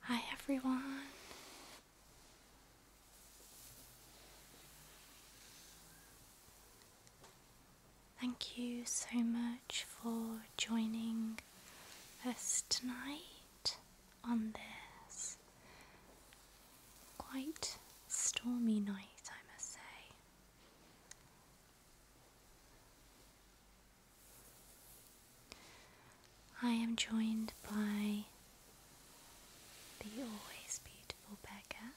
Hi, everyone. Thank you so much for joining us tonight on this quite stormy night, I must say. I am joined by the always beautiful Becca.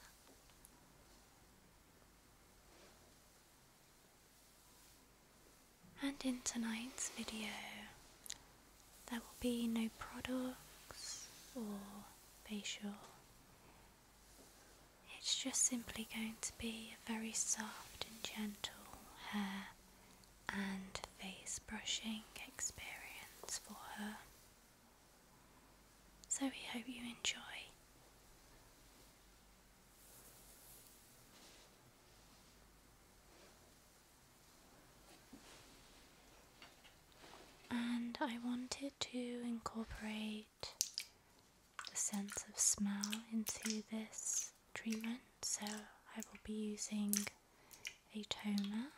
And in tonight's video, there will be no products or facial it's just simply going to be a very soft and gentle hair and face brushing experience for her. So we hope you enjoy. And I wanted to incorporate the sense of smell into this treatment. So I will be using a toner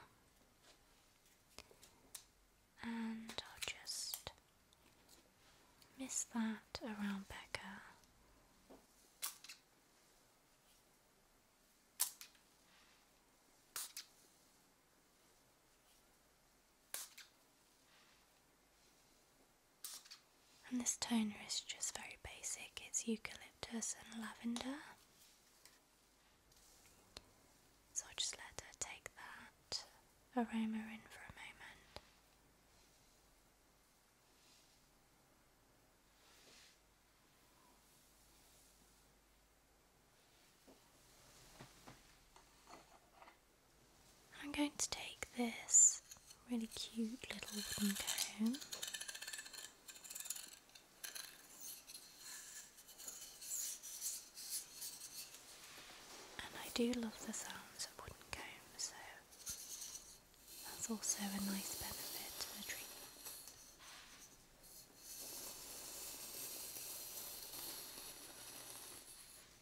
and I'll just miss that around Becca. And this toner is just very basic, it's eucalyptus and lavender. So i just let her take that aroma in for a moment. I'm going to take this really cute little wooden comb. And I do love the sounds of wooden combs, so that's also a nice benefit to the treatment.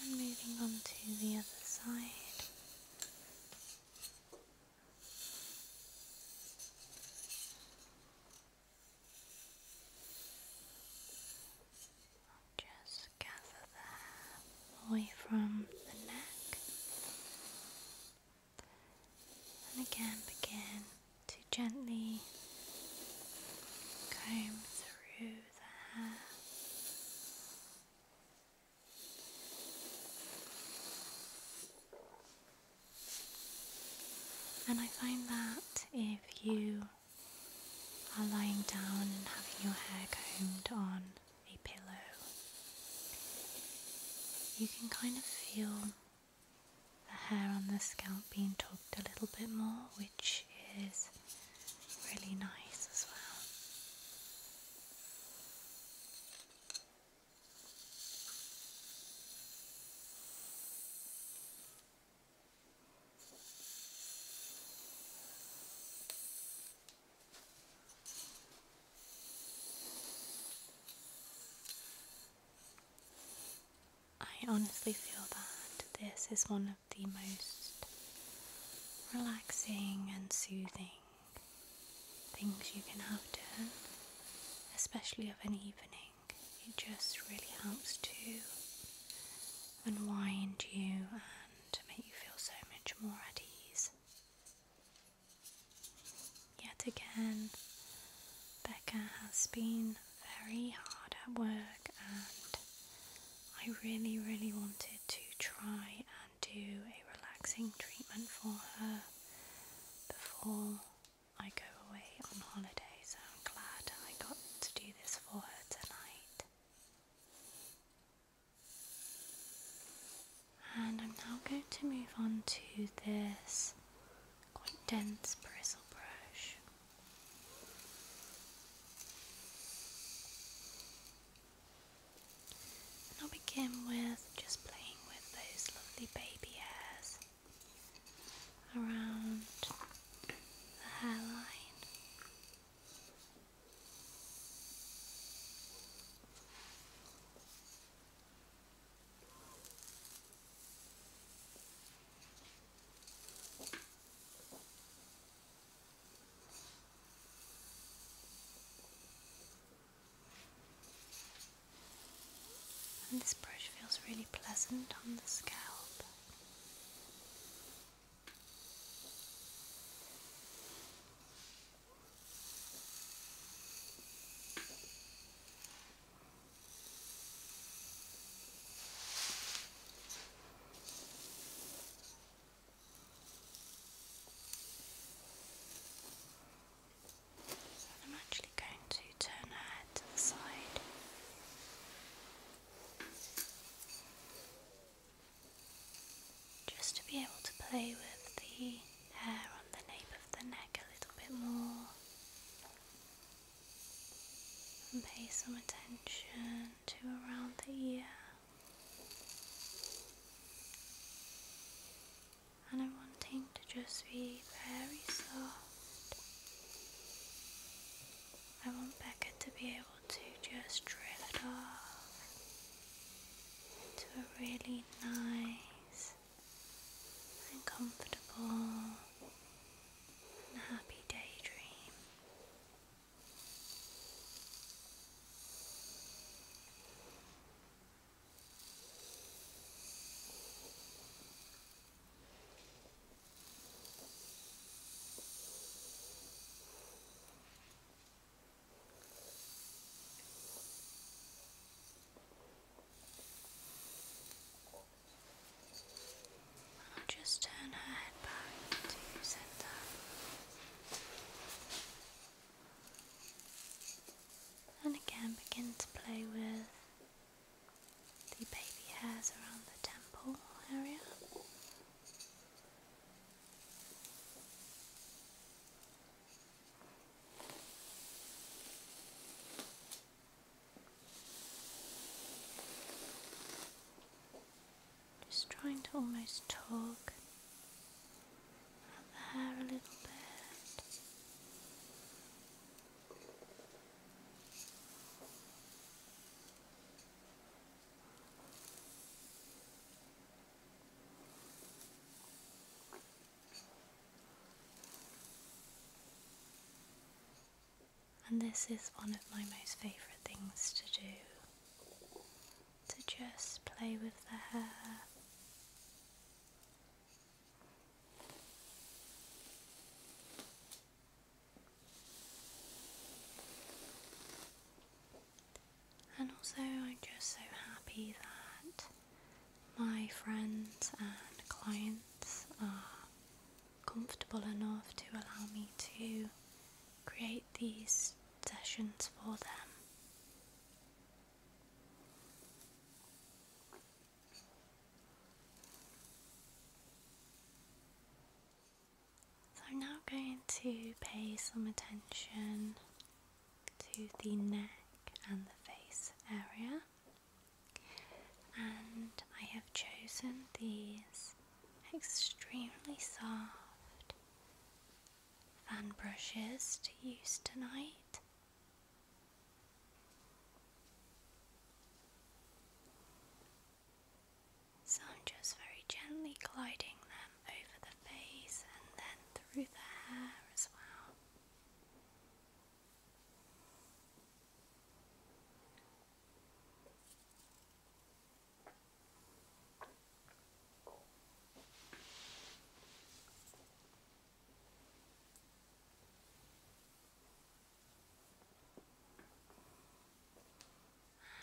And moving on to the other side just gather that away from the neck and again begin to gently comb through the hair. And I find that if you are lying down and having your hair combed on a pillow, you can kind of feel the hair on the scalp being tugged a little bit more, which is really nice as well. I honestly feel that this is one of the most relaxing and soothing things you can have done, especially of an evening. It just really helps to unwind you and make you feel so much more at ease. Yet again, Becca has been very hard at work, and I really, really wanted to try and do a relaxing treatment for her before I go away on holiday. So I'm glad I got to do this for her tonight. And I'm now going to move on to this quite dense bristle brush. And I'll begin with just playing with those lovely baby hairs around the hairline. And this brush feels really pleasant on the scalp. I'm actually going to turn her head to the side just to be able to play with the hair on the nape of the neck a little bit more and pay some attention to around the ear. And I'm wanting to just be very soft I want Beckett to be able to just drift off into a really nice and comfortable and happy daydream. I'll just turn her head back to center. And again begin to play with the baby hairs around the temple area. Just trying to almost talk about the hair a little bit. And this is one of my most favourite things to do to just play with the hair. And also, I'm just so happy that my friends and clients are comfortable enough to allow me to create these sessions for them. So I'm now going to pay some attention to the neck and the face area. And I have chosen these extremely soft fan brushes to use tonight. So I'm just very gently gliding them over the face and then through the hair as well.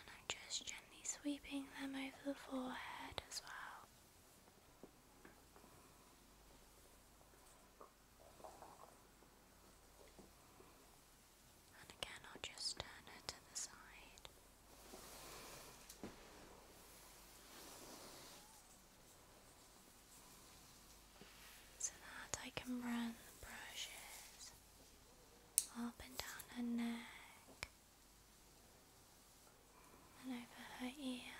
And I'm just gently sweeping them over the forehead as well. And again, I'll just turn it to the side so that I can run the brushes up and down her neck and over her ear.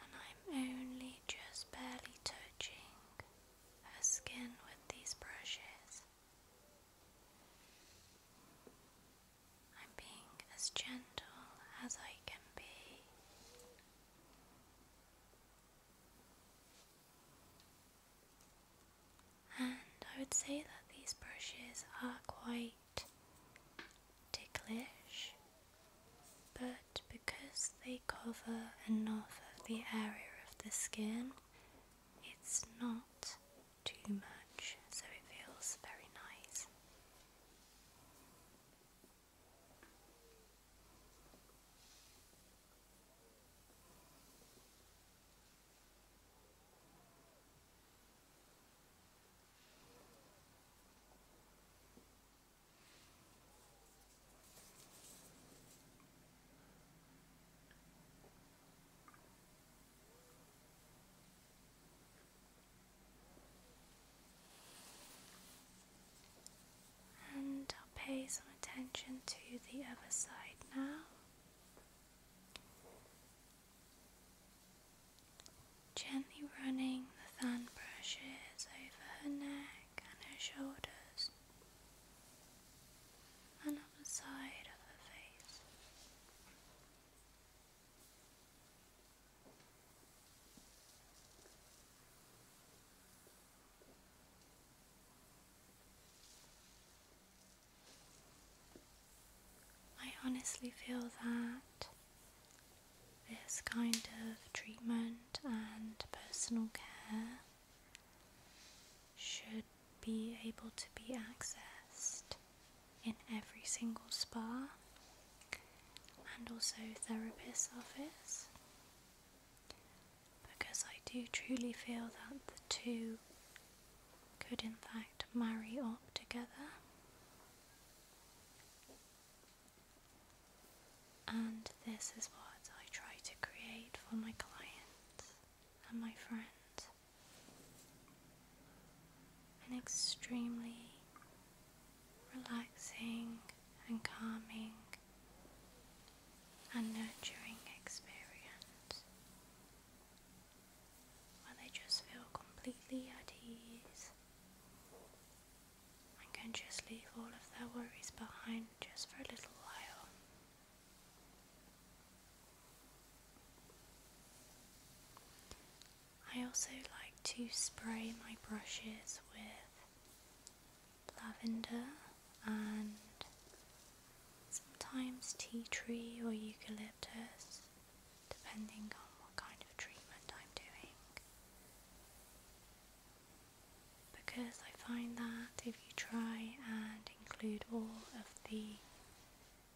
And I'm only just barely touching her skin with these brushes. I'm being as gentle as I can be. And I would say that these brushes are quite ticklish, but because they cover enough of the area of the skin, it's not too much, so it feels very nice. And pay some attention to the other side now. Gently running the fan brushes over her neck and her shoulders and side of her face. I honestly feel that this kind of treatment and personal care should be able to be accessed in every single spa and also therapist's office because I do truly feel that the two could in fact marry up together. And this is what I try to create for my clients and my friend. An extremely relaxing and calming and nurturing experience where they just feel completely at ease and can just leave all of their worries behind just for a little while I also like to spray my brushes with lavender and sometimes tea tree or eucalyptus, depending on what kind of treatment I'm doing. Because I find that if you try and include all of the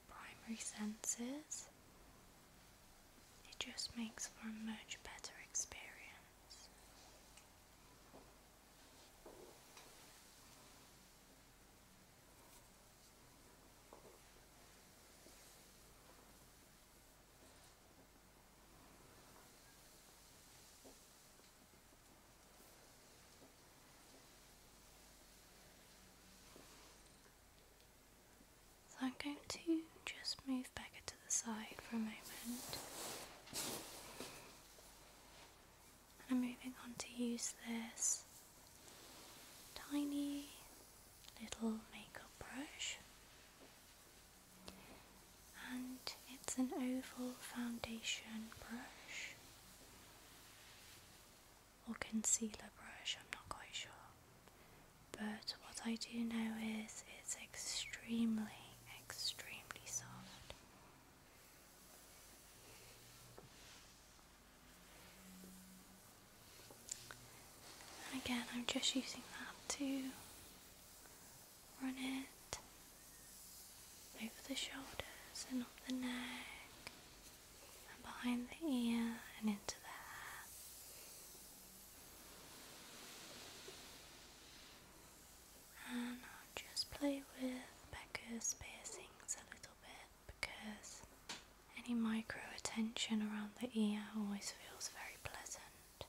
primary senses, it just makes for a much better experience. So I'm going to just move back to the side for a moment. And I'm moving on to use this tiny little makeup brush. And it's an oval foundation brush or concealer brush, I'm not quite sure. But what I do know is it's extremely, extremely soft. And again, I'm just using that to run it over the shoulders and up the neck and behind the ear and into the hair. And I'll just play with Becca's piercings a little bit because any micro attention around the ear always feels very pleasant.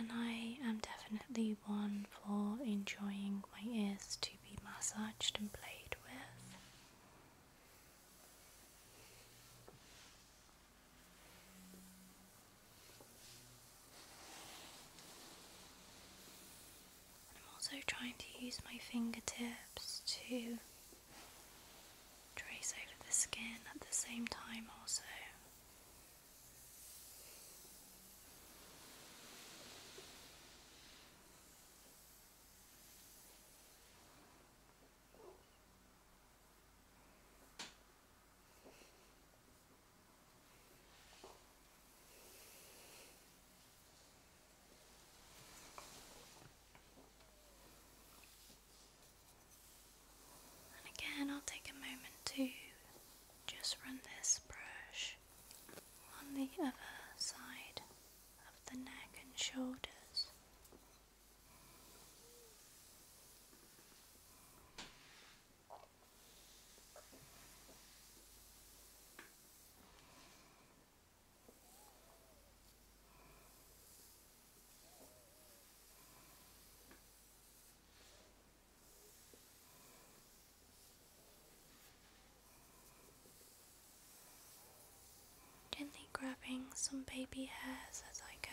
And I am definitely one for enjoying my ears to be massaged and played with. I'm also trying to use my fingertips to trace over the skin at the same time also again, I'll take a moment to just run this brush on the other side of the neck and shoulders. Gently grabbing some baby hairs as I go.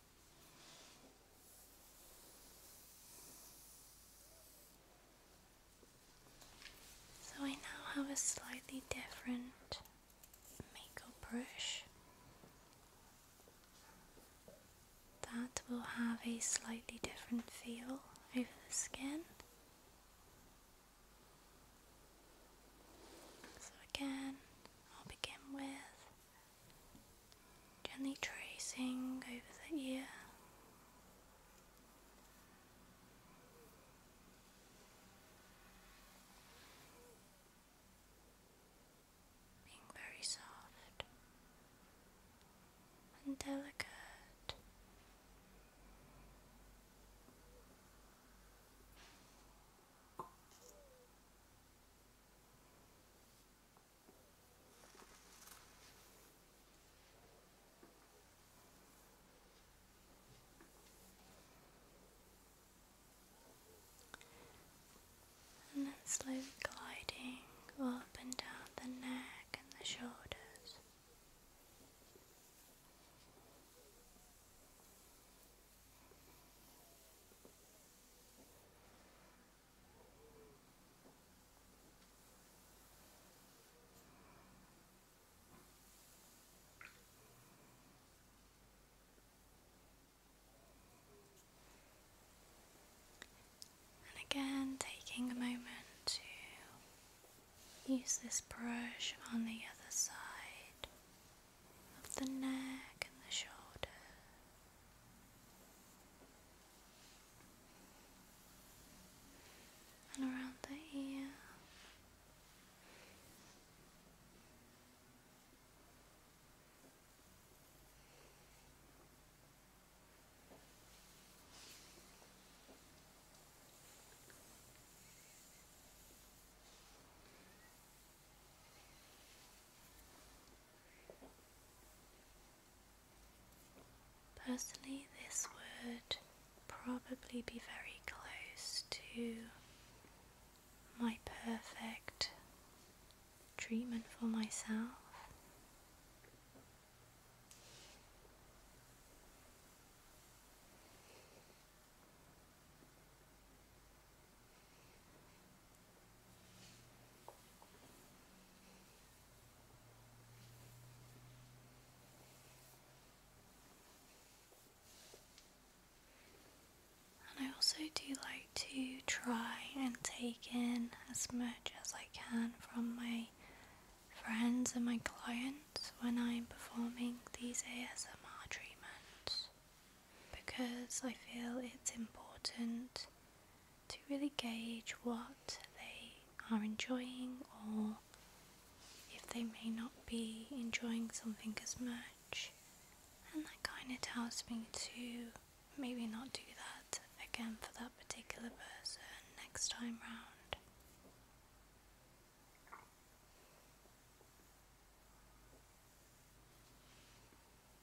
So I now have a slightly different makeup brush that will have a slightly different feel over the skin. So again, I'll begin with gently tracing over the ear. Being very soft and delicate. And then slowly gliding up and down the neck and the shoulders. And again, taking a moment to use this brush on the other side of the neck and the shoulder and around the ear. Personally, this would probably be very close to my perfect treatment for myself. I also do like to try and take in as much as I can from my friends and my clients when I'm performing these ASMR treatments because I feel it's important to really gauge what they are enjoying or if they may not be enjoying something as much. And that kind of tells me to maybe not do that again for that particular person next time round.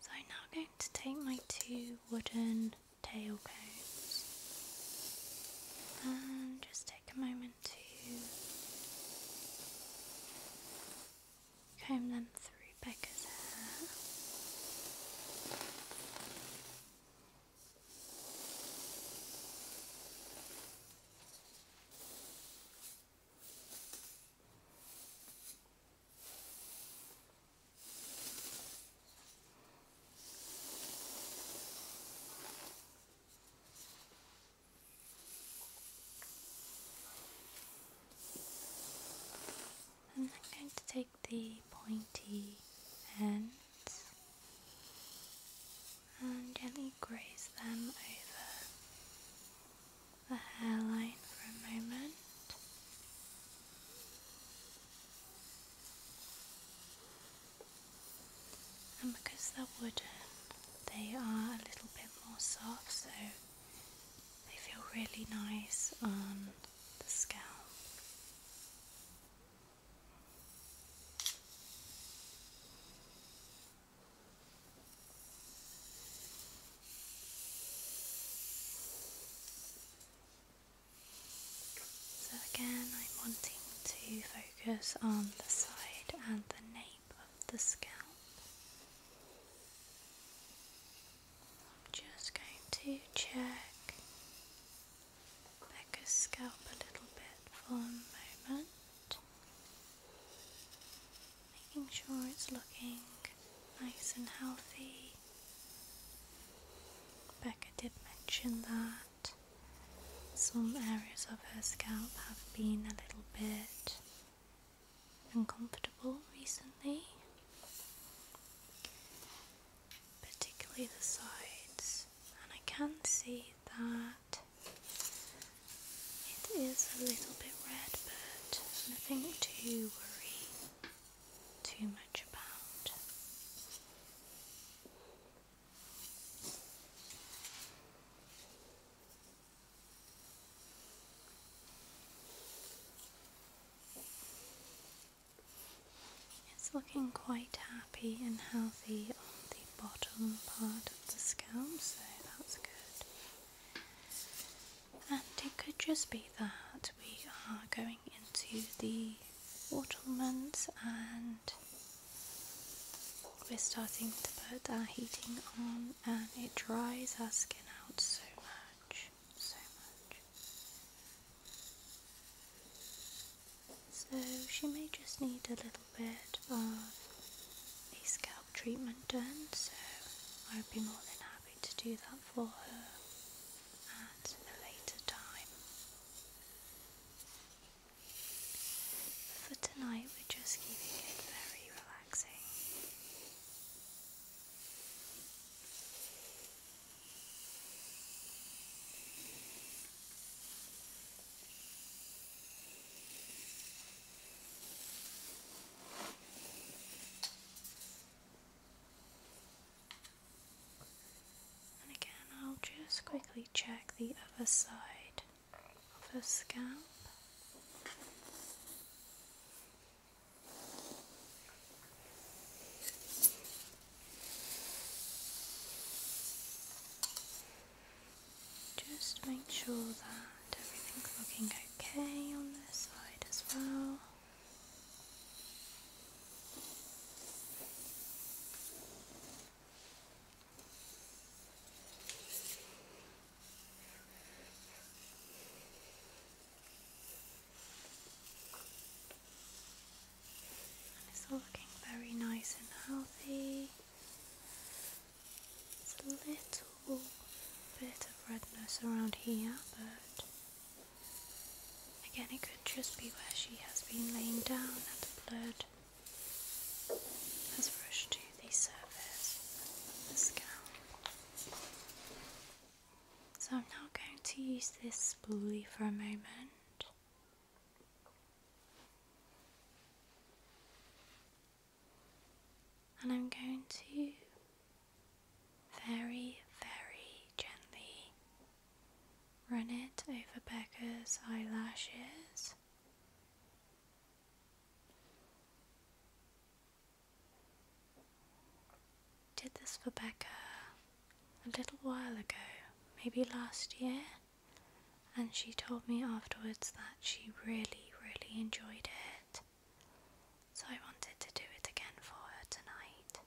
So I'm now going to take my two wooden tail cones and just take a moment to comb them through Becca's hair. I'm going to take the pointy ends and gently graze them over the hairline for a moment. And because they're wooden, they are a little bit more soft, so they feel really nice on the scalp. So again, I'm wanting to focus on the side and the nape of the scalp. I'm just going to check Becca's scalp a little bit for a moment making sure it's looking nice and healthy. Becca did mention that some areas of her scalp have been a little bit uncomfortable recently, particularly the sides, and I can see that it is a little bit red, but nothing to worry too much about. It's looking quite happy and healthy on the bottom part of the scalp, so that's good. And it could just be that we are going into the autumn months and we're starting to put our heating on and it dries our skin out so much, so much. So she may just need a little little bit of a scalp treatment done, so I would be more than happy to do that for her at a later time. For tonight, we're just keeping it very relaxing. And again, I'll just quickly check the other side of the scalp. Just make sure that everything's looking okay on this side as well. it's looking very nice and healthy. There's a little bit of redness around here, but again, it could just be where she has been laying down and the blood has rushed to the surface of the scalp. So I'm now going to use this spoolie for a moment and I'm going to very, very gently run it over Becca's eyelashes. Did this for Becca a little while ago, maybe last year and she told me afterwards that she really, really enjoyed it. So I wanted to do it again for her tonight.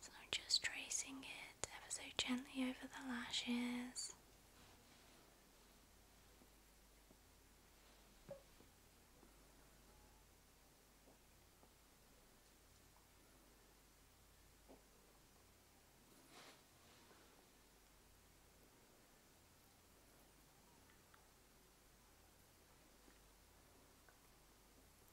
So I'm just tracing it ever so gently over the lashes.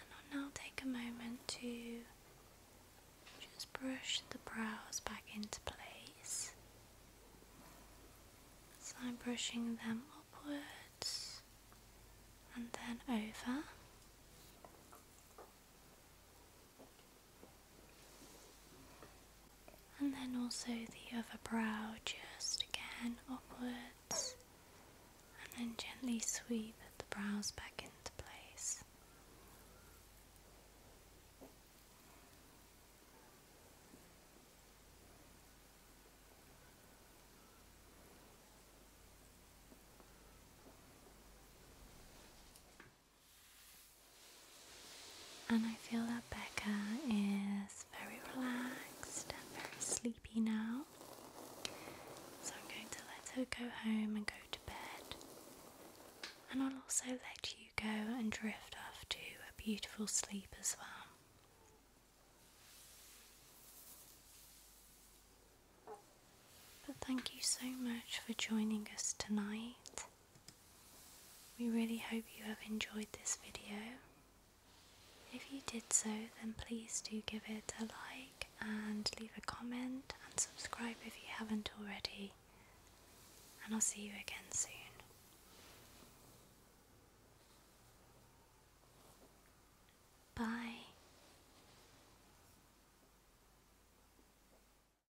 And I'll now take a moment to just brush the brows back into place. So I'm brushing them upwards and then over. And then also the other brow, just again upwards, and then gently sweep the brows back into place. And I feel that Becca is very relaxed and very sleepy now. So I'm going to let her go home and go to bed. And I'll also let you go and drift off to a beautiful sleep as well. But thank you so much for joining us tonight. We really hope you have enjoyed this video. If you did so then please do give it a like and leave a comment and subscribe if you haven't already and I'll see you again soon. Bye.